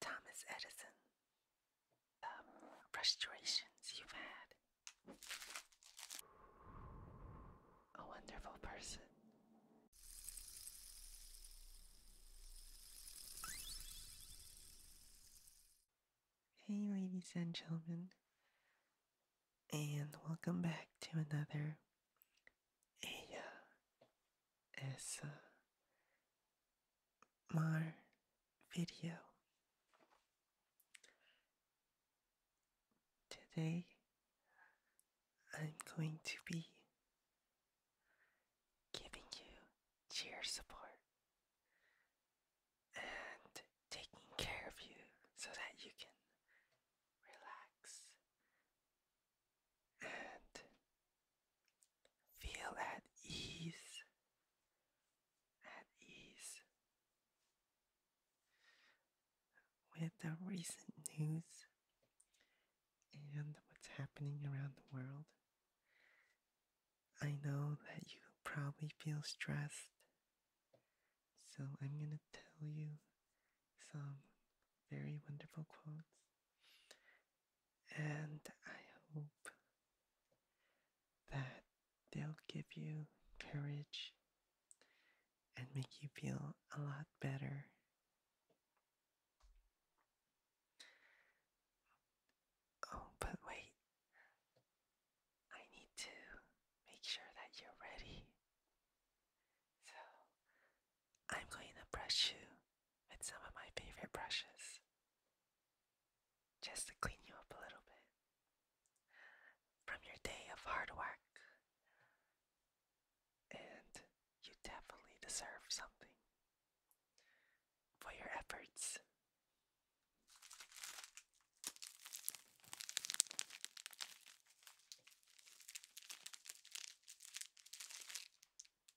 Thomas Edison, the um, frustrations you've had. A wonderful person. Hey, ladies and gentlemen, and welcome back to another ASMR my video. Today I'm going to be giving you cheer support and taking care of you so that you can relax and Feel at ease, at ease with the recent news and what's happening around the world. I know that you probably feel stressed, so I'm going to tell you some very wonderful quotes and I hope that they'll give you courage and make you feel a lot better. Oh, but wait, I need to make sure that you're ready. So I'm going to brush you with some of my favorite brushes just to clean you up a little bit from your day of hard work. And you definitely deserve something for your efforts.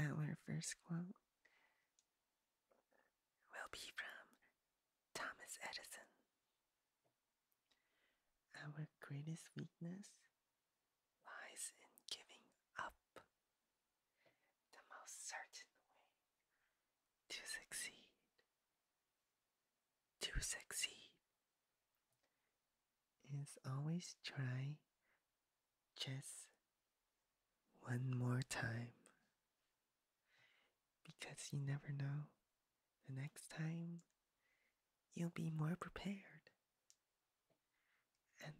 Our first quote will be from Thomas Edison. Our greatest weakness lies in giving up. The most certain way to succeed, to succeed is always try just one more time because you never know the next time you'll be more prepared and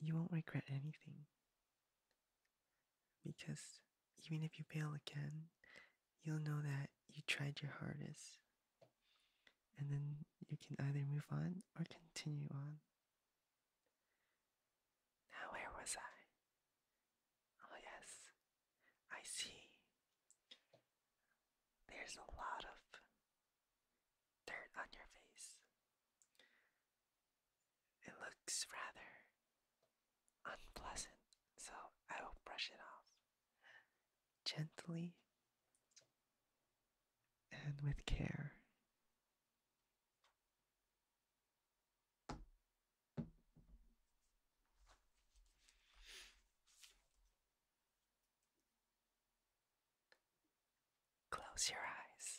you won't regret anything because even if you fail again, you'll know that you tried your hardest and then you can either move on or continue on. Now, where was I? Oh, yes, I see. There's a lot of dirt on your face. It looks rather unpleasant, so I will brush it off gently and with care. Close your eyes.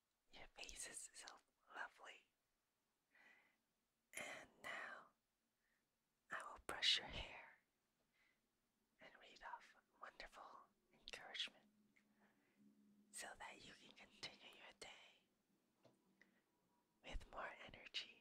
Your face is so lovely. And now I will brush your hair and read off wonderful encouragement so that you can continue your day with more energy.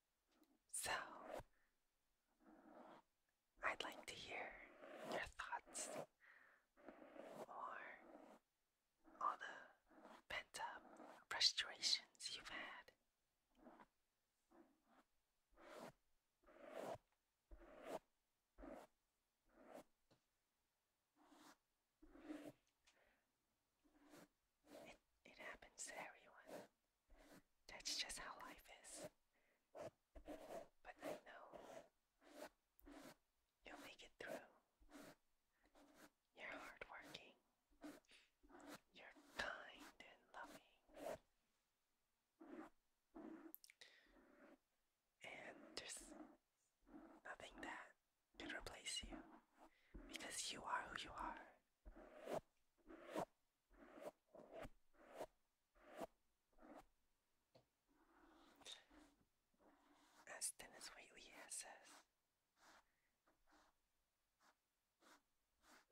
So, I'd like to hear your thoughts or all the pent up frustrations you've had. It, it happens to everyone. That's just how life is. But I know you'll make it through. You're hardworking. You're kind and loving. And there's nothing that could replace you because you are who you are. As Dennis as Wheatley says,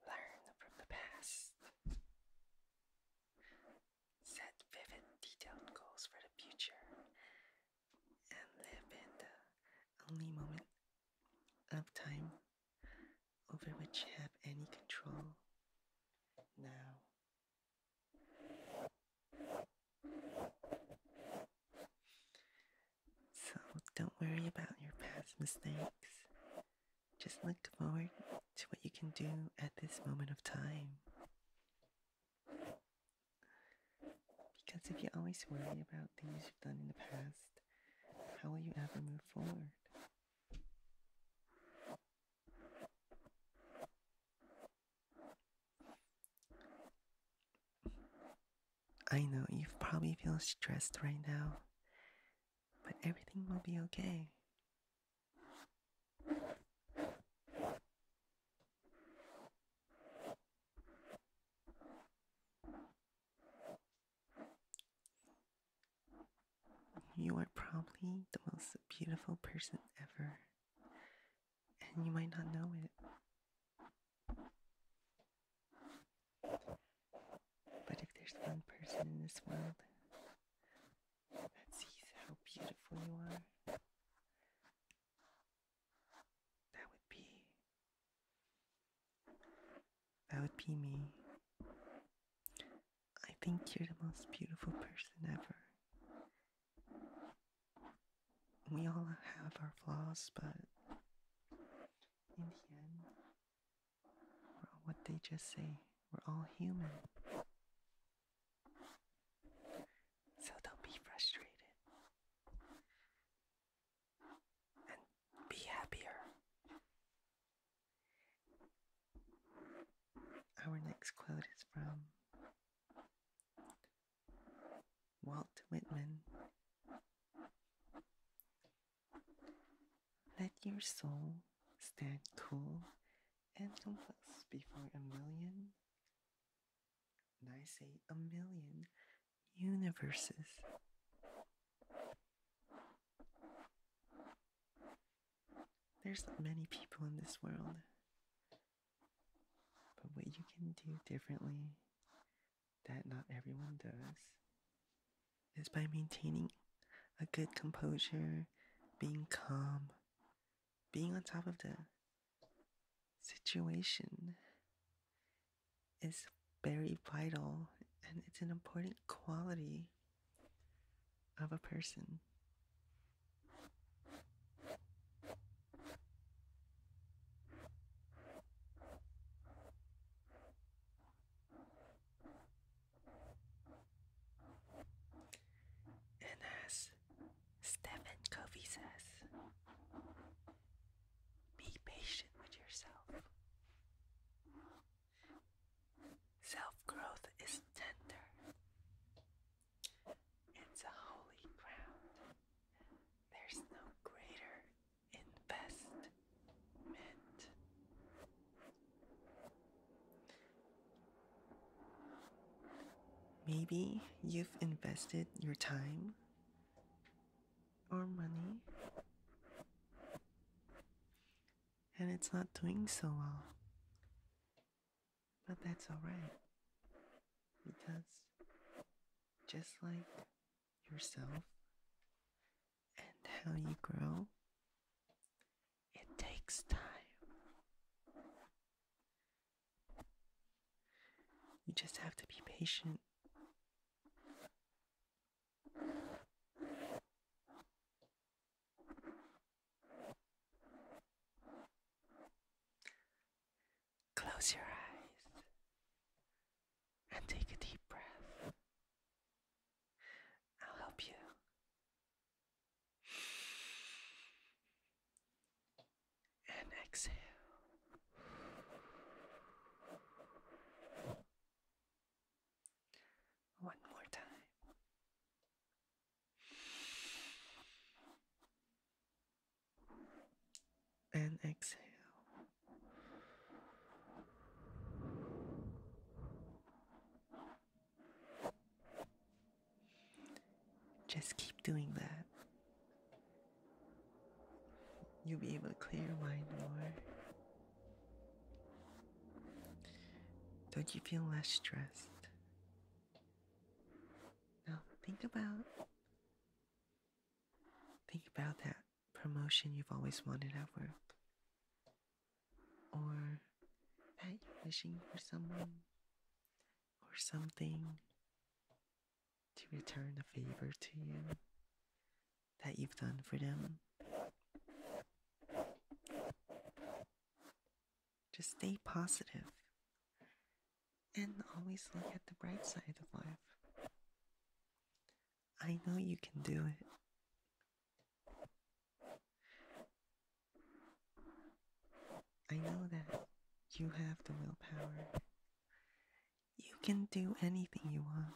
learn from the past. Set vivid, detailed goals for the future and live in the only moment of time over which you have any control now. So don't worry about your past mistakes. Just look forward to what you can do at this moment of time. Because if you always worry about things you've done in the past, how will you ever move forward? I know you probably feel stressed right now, but everything will be okay. You are probably the most beautiful person ever, and you might not know it. But if there's one person in this world that sees how beautiful you are, that would be that would be me. I think you're the most beautiful person ever. We all have our flaws, but in the end, what they just say. We're all human. So don't be frustrated and be happier. Our next quote is from Walt Whitman. Let your soul stand cool and complex before a million, and I say a million universes. There's many people in this world, but what you can do differently that not everyone does is by maintaining a good composure, being calm, being on top of the situation, is very vital and it's an important quality of a person. And as Stephen Covey says, be patient with yourself. Self growth is tender, it's a holy ground. There's no greater investment. Maybe you've invested your time or money and it's not doing so well. But that's alright because just like yourself and how you grow, it takes time. You just have to be patient Close your eyes and take a deep breath. I'll help you. And exhale. One more time. And exhale. Just keep doing that. You'll be able to clear your mind more. Don't you feel less stressed? Now think about think about that promotion you've always wanted at work. Or that you're wishing for someone or something to return a favor to you that you've done for them. Just stay positive and always look at the bright side of life. I know you can do it. I know that you have the willpower. You can do anything you want.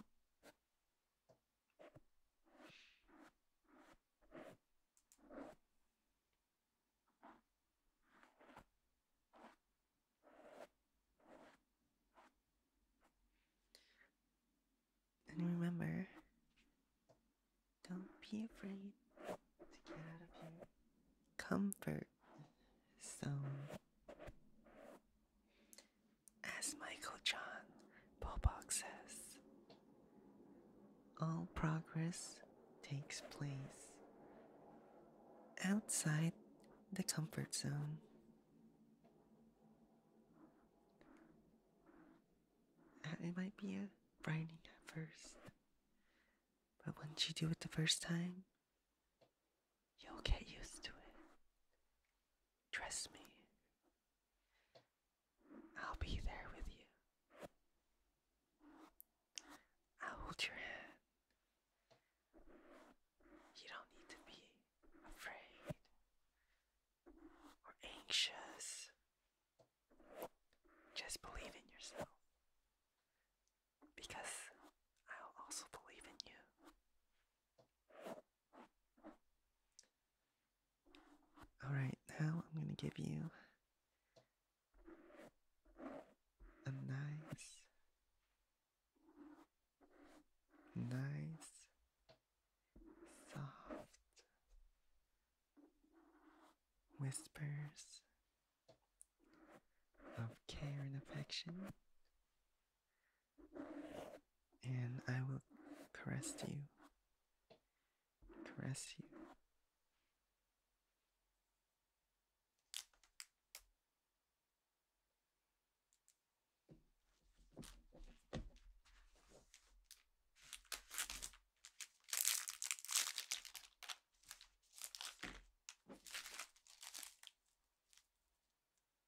And remember, don't be afraid to get out of your comfort zone. As Michael John Box says, all progress takes place outside the comfort zone. It might be a frightening at first, but once you do it the first time, you'll get used to it. Trust me. I'll be there with you. I'll hold your hand. You don't need to be afraid or anxious. Just believe in yourself. Because I'll also believe in you. Alright, now I'm going to give you a nice, nice, soft whispers of care and affection and I will caress you, caress you.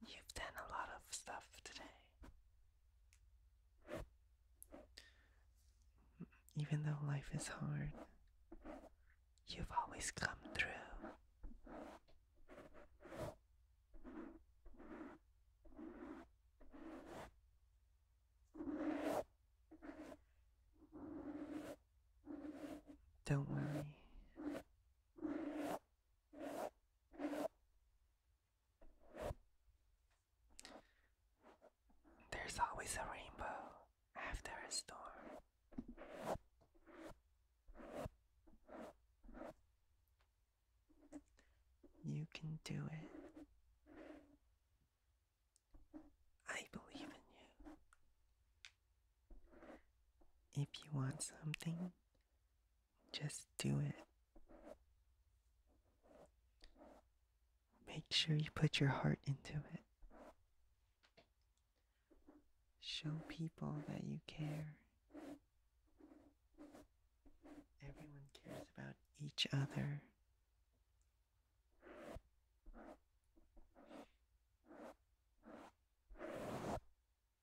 You've done a lot of stuff today. Even though life is hard, you've always come through. Don't worry. There's always a rainbow after a storm. You can do it. I believe in you. If you want something, just do it. Make sure you put your heart into it. Show people that you care. Everyone cares about each other.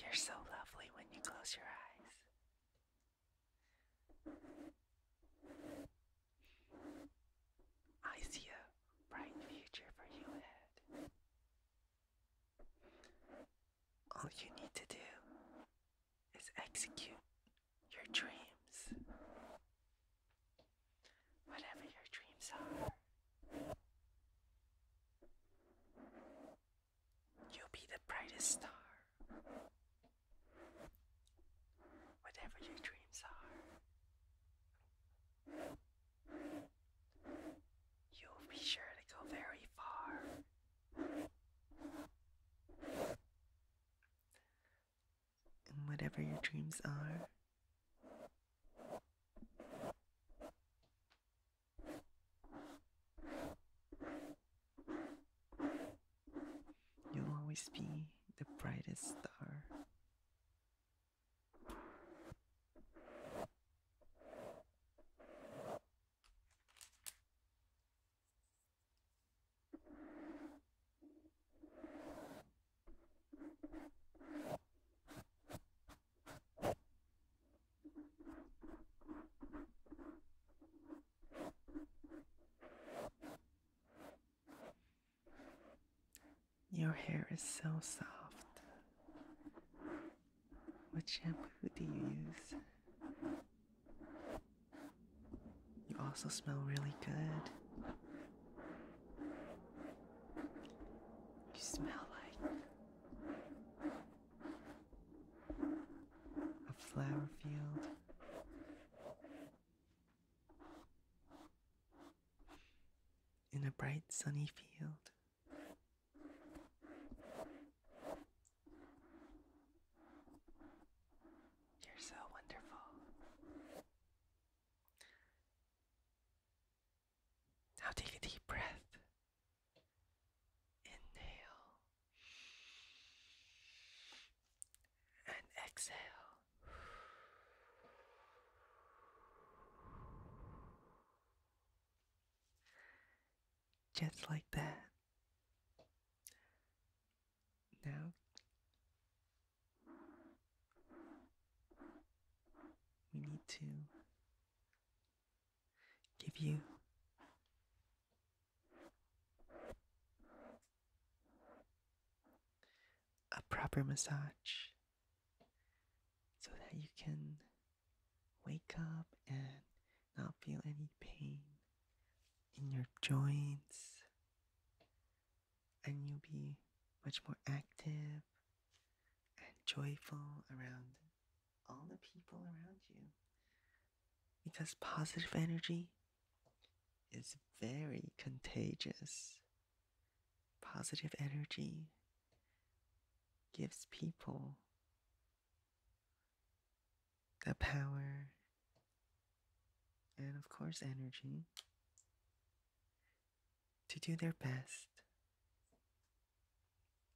You're so lovely when you close your eyes. I see a bright future for you ahead. All you need to do is execute your dreams. Whatever your dreams are, You'll be the brightest star. Whatever your dreams are, you'll be sure to go very far. And whatever your dreams are, You'll always be the brightest star. Your hair is so soft. What shampoo do you use? You also smell really good. You smell like a flower field. In a bright sunny field, you're so wonderful. Now take a deep breath Inhale and exhale. Just like that. Now we need to give you a proper massage so that you can wake up and not feel any pain in your joints and you'll be much more active and joyful around all the people around you. Because positive energy is very contagious. Positive energy gives people the power and, of course, energy to do their best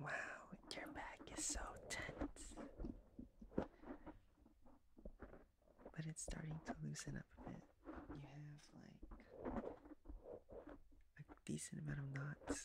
Wow, your back is so tense. But it's starting to loosen up a bit. You have like a decent amount of knots.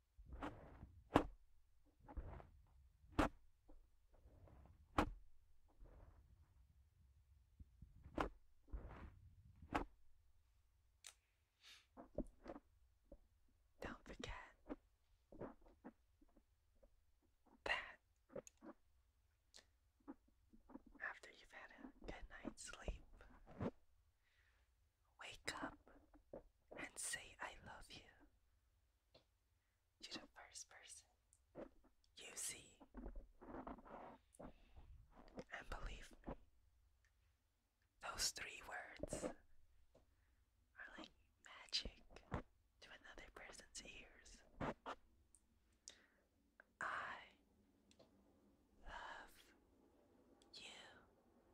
Don't forget that after you've had a good night's sleep, wake up and say, I love you you the first person you see. And believe me, those three words are like magic to another person's ears. I love you.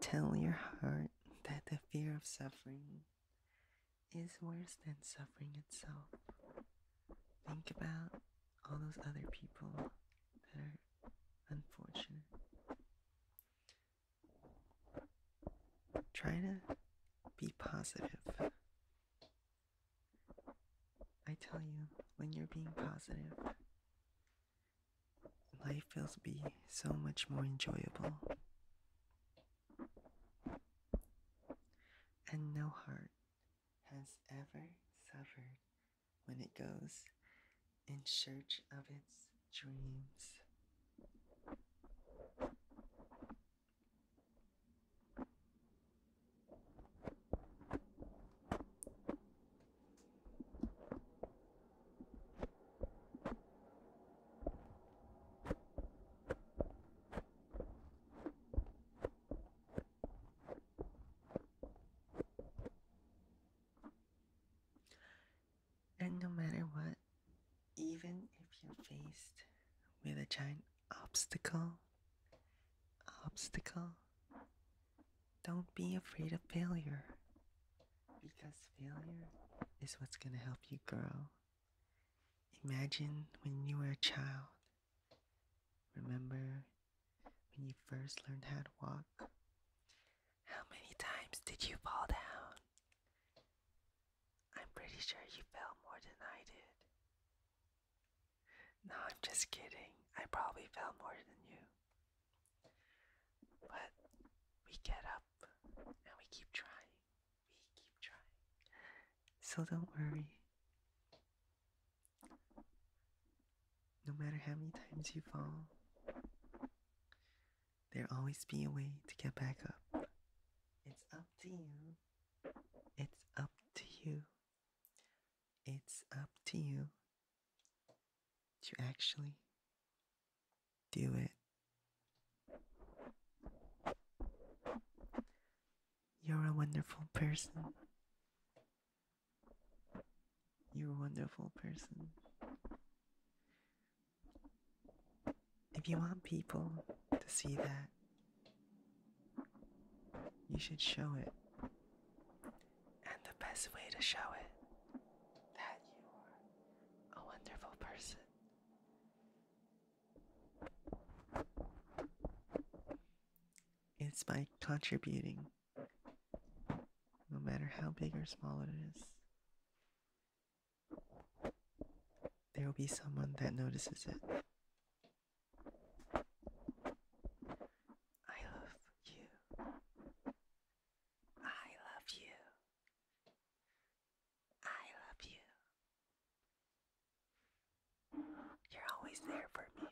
Tell your heart that the fear of suffering is worse than suffering itself. Think about all those other people that are unfortunate. Try to be positive. I tell you, when you're being positive, life feels be so much more enjoyable. And no heart has ever suffered when it goes in search of its dreams. And no matter what, even if you're faced with a giant obstacle, obstacle, don't be afraid of failure because failure is what's going to help you grow. Imagine when you were a child. Remember when you first learned how to walk? How many times did you fall down? I'm pretty sure you fell more than I did. No, I'm just kidding. I probably fell more than you. But we get up and we keep trying. We keep trying. So don't worry. No matter how many times you fall, there'll always be a way to get back up. It's up to you. It's up to you. It's up to you to actually do it. You're a wonderful person. You're a wonderful person. If you want people to see that, you should show it. And the best way to show it that you are a wonderful person is by contributing, no matter how big or small it is. There will be someone that notices it. I love you. I love you. I love you. You're always there for me.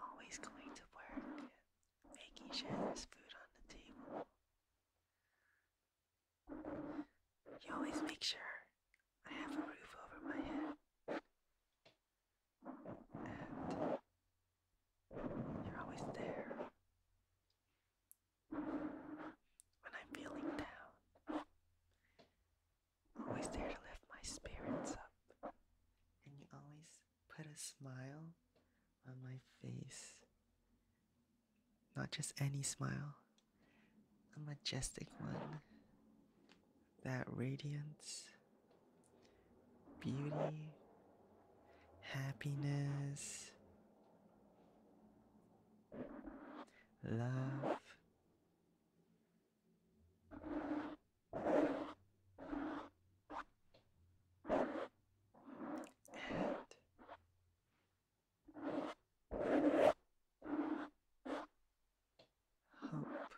Always going to work, making sure there's food on the table. You always make sure I have a roof over my head you're always there. When I'm feeling down, always there to lift my spirits up. And you always put a smile on my face. Not just any smile, a majestic one that radiance, beauty, happiness, love. And hope.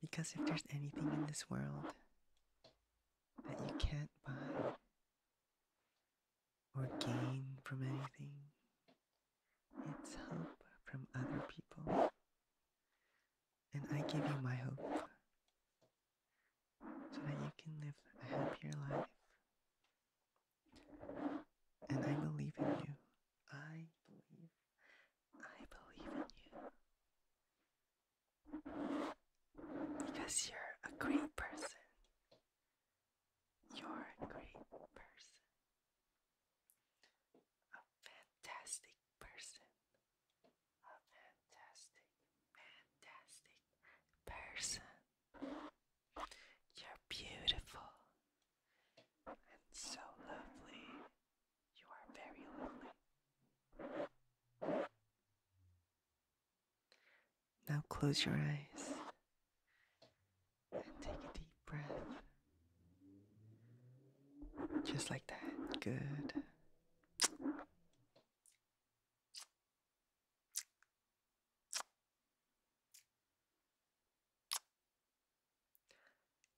Because if there's anything in this world that you can't buy or gain from anything, it's hope from other people. And I give you my hope so that you can live a happier life. And I believe in you. I believe. I believe in you. Because you're a great person. You're a great person. A fantastic person. A fantastic, fantastic person. You're beautiful and so lovely. You are very lovely. Now close your eyes and take a deep breath. Just like that. Good.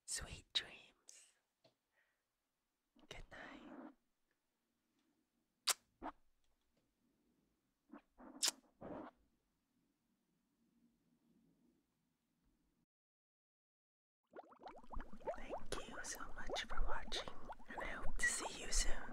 Sweet dreams. Good night. Thank you so much for watching, and I hope to see you soon.